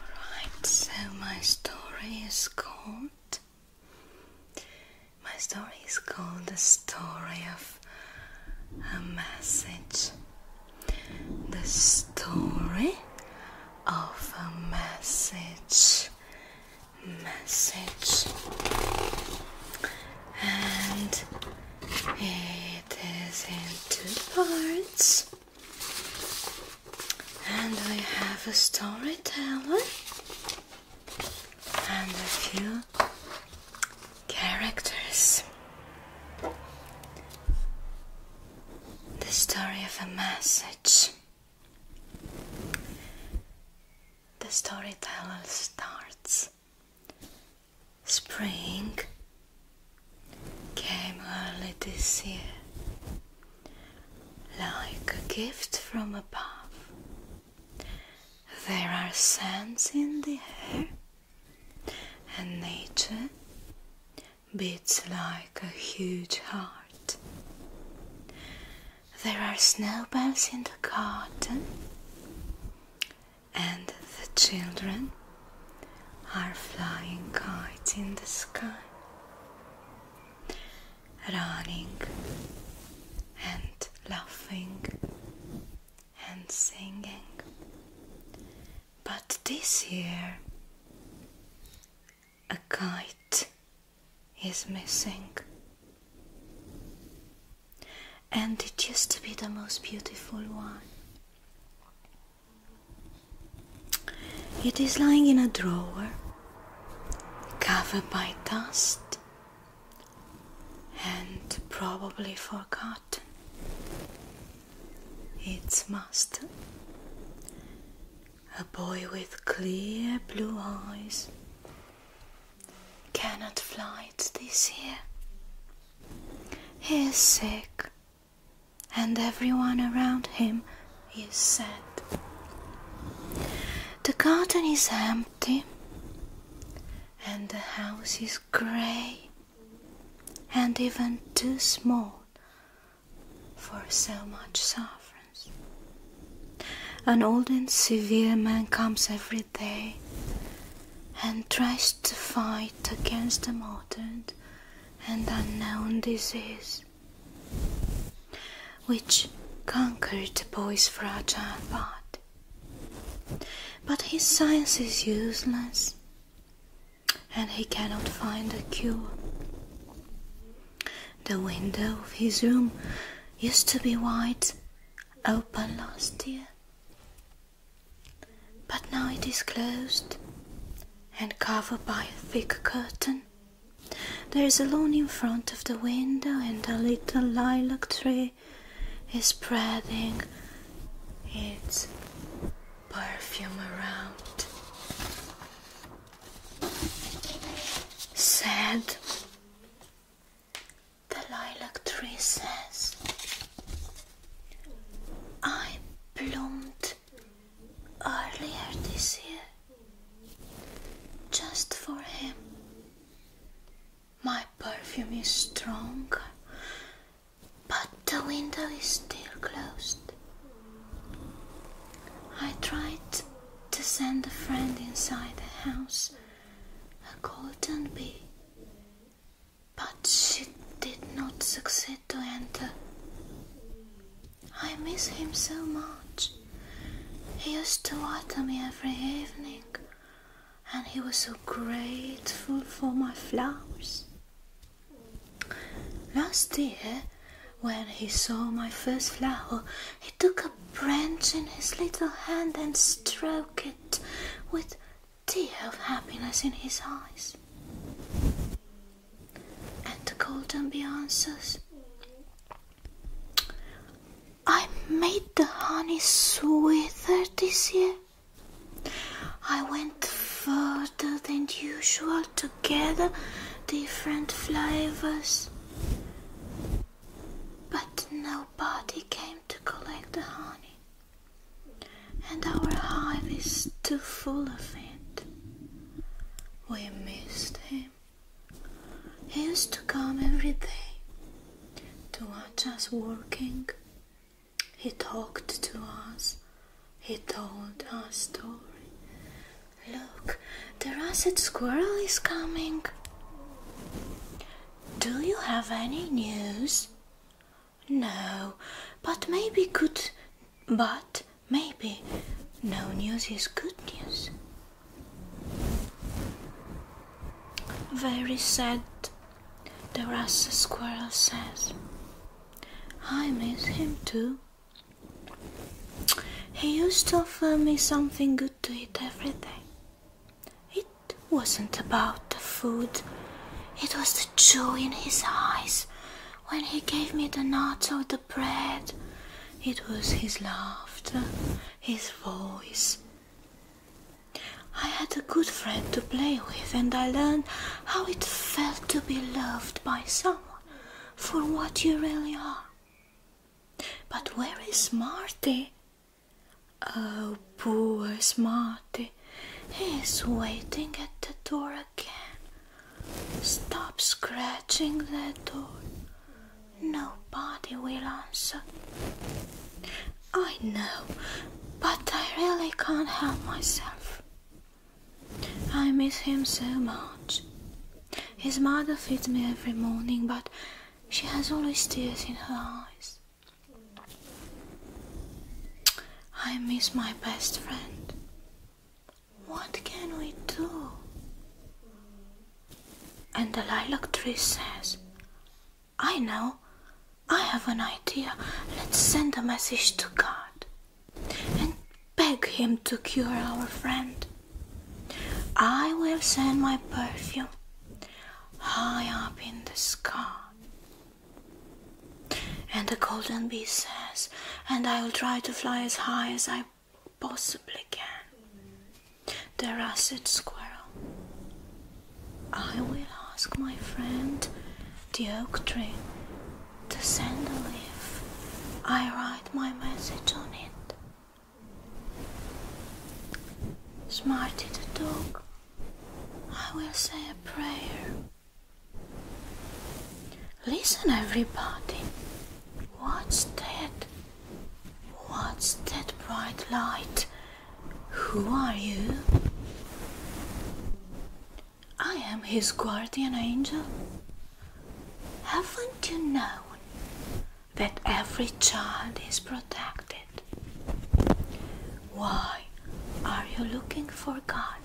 Alright, so my story is called My story is called The Story of a Message. The story of a message. Message. And it is in two parts. And we have a storyteller and a few characters. The story of a message. The storyteller starts. Spring came early this year, like a gift from above. There are scents in the air, and nature beats like a huge heart. There are snowballs in the garden, and the children are flying kites in the sky, running and laughing and singing. But this year, a kite is missing. And it used to be the most beautiful one. It is lying in a drawer, covered by dust, and probably forgotten. Its master, a boy with clear blue eyes, cannot fly it this year. He is sick and everyone around him is sad. The garden is empty, and the house is grey and even too small for so much sufferance. An old and severe man comes every day and tries to fight against the modern and unknown disease, which conquered the boy's fragile body. But his science is useless, and he cannot find a cure. The window of his room used to be wide open last year, but now it is closed and covered by a thick curtain. There is a lawn in front of the window, and a little lilac tree is spreading its perfume around. Sad, the lilac tree says. I bloomed earlier this year just for him. My perfume is strong, but the window is still closed. I tried to send a friend inside the house, a golden bee, but she did not succeed to enter. I miss him so much. He used to water me every evening, and he was so grateful for my flowers. Last year, when he saw my first flower, he took a branch in his little hand and stroked it with tear of happiness in his eyes. And the golden answers, I made the honey sweeter this year. I went further than usual to gather different flavors. But nobody came to collect the honey and our hive is too full of it. We missed him. He used to come every day to watch us working. He talked to us. He told us story. Look, the russet squirrel is coming. Do you have any news? No, but maybe good. But maybe no news is good news. Very sad, the rasa squirrel says. I miss him too. He used to offer me something good to eat every day. It it wasn't about the food. It was the joy in his eyes when he gave me the nuts or the bread. It was his laughter, his voice. I had a good friend to play with, and I learned how it felt to be loved by someone for what you really are. But where is Marty? Oh, uh, poor Smarty, he's waiting at the door again. Stop scratching the door. Nobody will answer. I know, but I really can't help myself. I miss him so much. His mother feeds me every morning, but she has always tears in her eyes. I miss my best friend. What can we do? And the lilac tree says, I know, I have an idea. Let's send a message to God and beg Him to cure our friend. I will send my perfume high up in the sky and the golden bee says, and I will try to fly as high as I possibly can. The russet squirrel. I will ask my friend, the oak tree, to send a leaf. I write my message on it. Smarty the dog I will say a prayer. Listen, everybody. What's that? What's that bright light? Who are you? I am his guardian angel. Haven't you known that every child is protected? Why are you looking for God?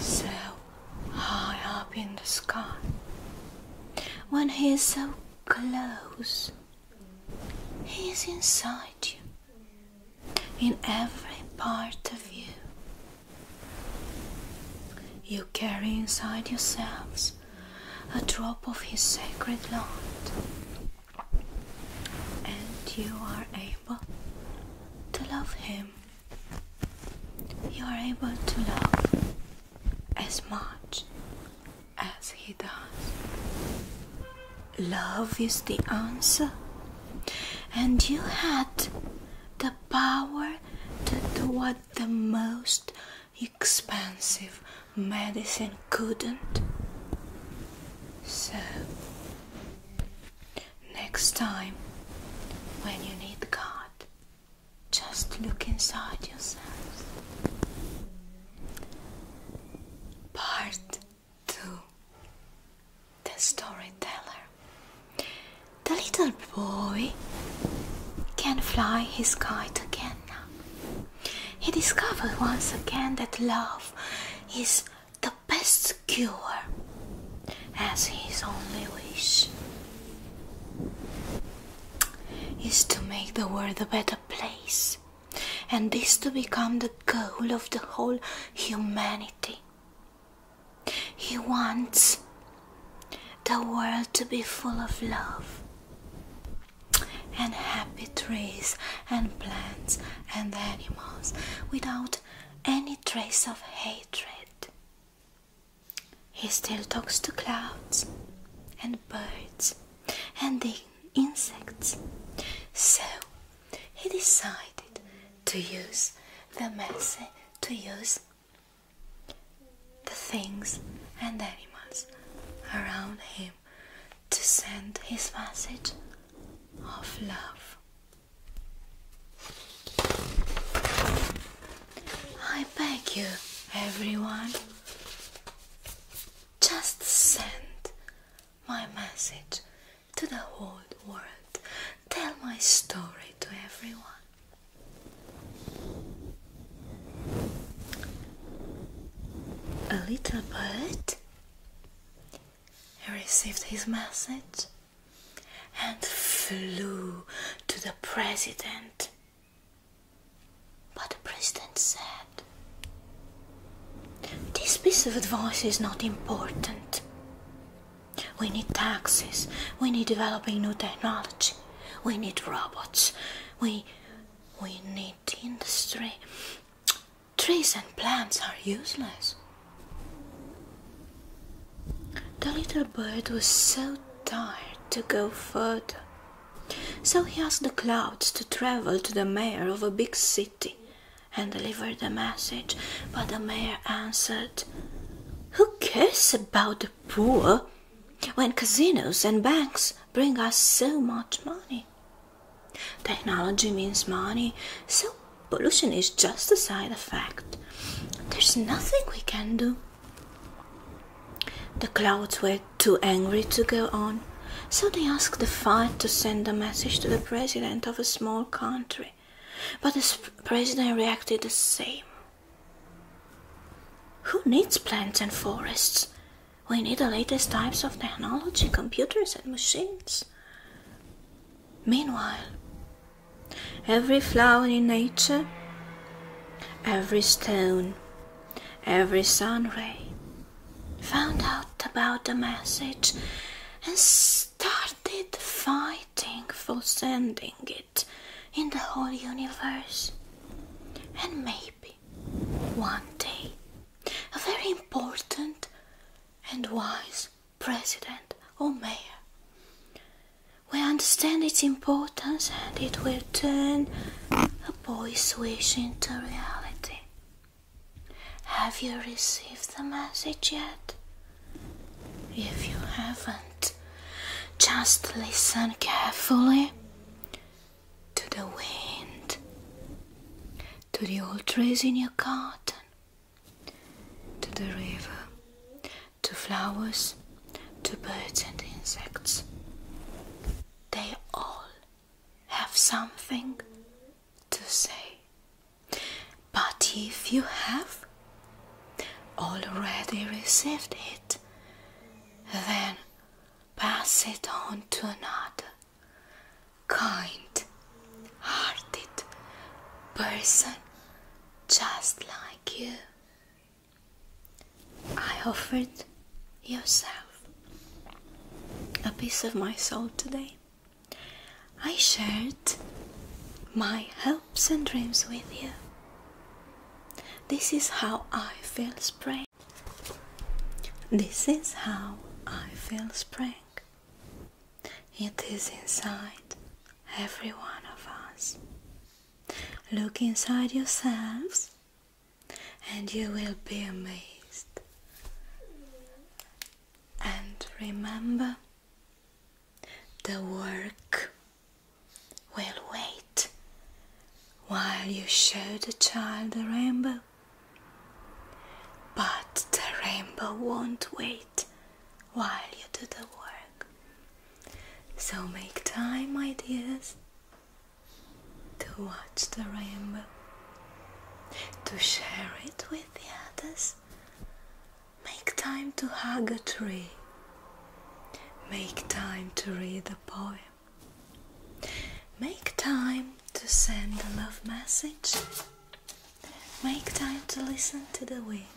So high up in the sky, when He is so close, He is inside you, in every part of you. You carry inside yourselves a drop of His sacred light, and you are able to love Him. You are able to love as much as He does. Love is the answer, and you had the power to do what the most expensive medicine couldn't. So, next time when you need God, just look inside yourself. Part 2 The Storyteller. The little boy can fly his kite again now. He discovered once again that love is the best cure, as his only wish is to make the world a better place, and this to become the goal of the whole humanity. He wants the world to be full of love and happy trees and plants and animals without any trace of hatred. He still talks to clouds and birds and the insects. So he decided to use the message to use the things and animals around him to send his message of love. I beg you, everyone, just send my message to the whole world. Tell my story to everyone. A little bird received his message and flew to the president. But the president said, This piece of advice is not important. We need taxes, we need developing new technology, we need robots, we we need industry. Trees and plants are useless. The little bird was so tired to go further, so he asked the clouds to travel to the mayor of a big city and deliver the message. But the mayor answered, Who cares about the poor? when casinos and banks bring us so much money. Technology means money, so pollution is just a side effect. There's nothing we can do. The clouds were too angry to go on, so they asked the fire to send a message to the president of a small country. But the president reacted the same. Who needs plants and forests? We need the latest types of technology, computers, and machines. Meanwhile, every flower in nature, every stone, every sun ray found out about the message and started fighting for sending it in the whole universe. And maybe one day, a very important and wise president or mayor will understand its importance and it will turn a boy's wish into reality. Have you received the message yet? If you haven't, just listen carefully to the wind, to the old trees in your garden, to the river, to flowers, to birds and insects. They all have something to say. But if you have already received it, then pass it on to another kind hearted person just like you. I offered yourself a piece of my soul today. I shared my hopes and dreams with you. This is how I feel spring. This is how I feel spring. It is inside every one of us. Look inside yourselves and you will be amazed. And remember the work will wait while you show the child the rainbow. But the rainbow won't wait while you do the work. So make time, my dears, to watch the rainbow, to share it with the others. Make time to hug a tree Make time to read the poem. Make time to send a love message. Make time to listen to the wind,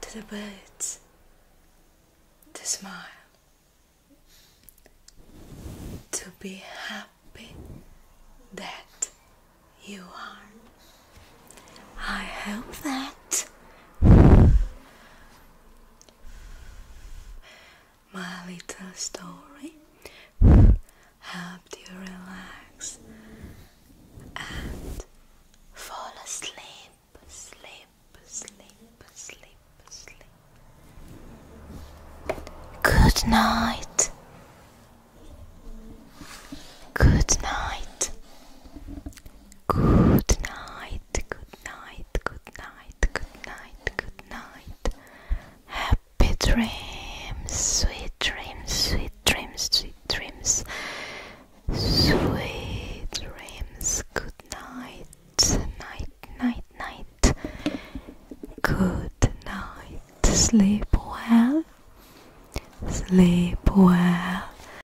to the birds, to smile, to be happy that you are. I hope that my little story helped you relax and fall asleep, sleep, sleep, sleep, sleep. Good night. Good night. Good night night, good night, good night, good night, good night. Happy dreams, sweet dreams, sweet dreams, sweet dreams, sweet dreams. Good night, night, night, night. Good night. Sleep well. Sleep well.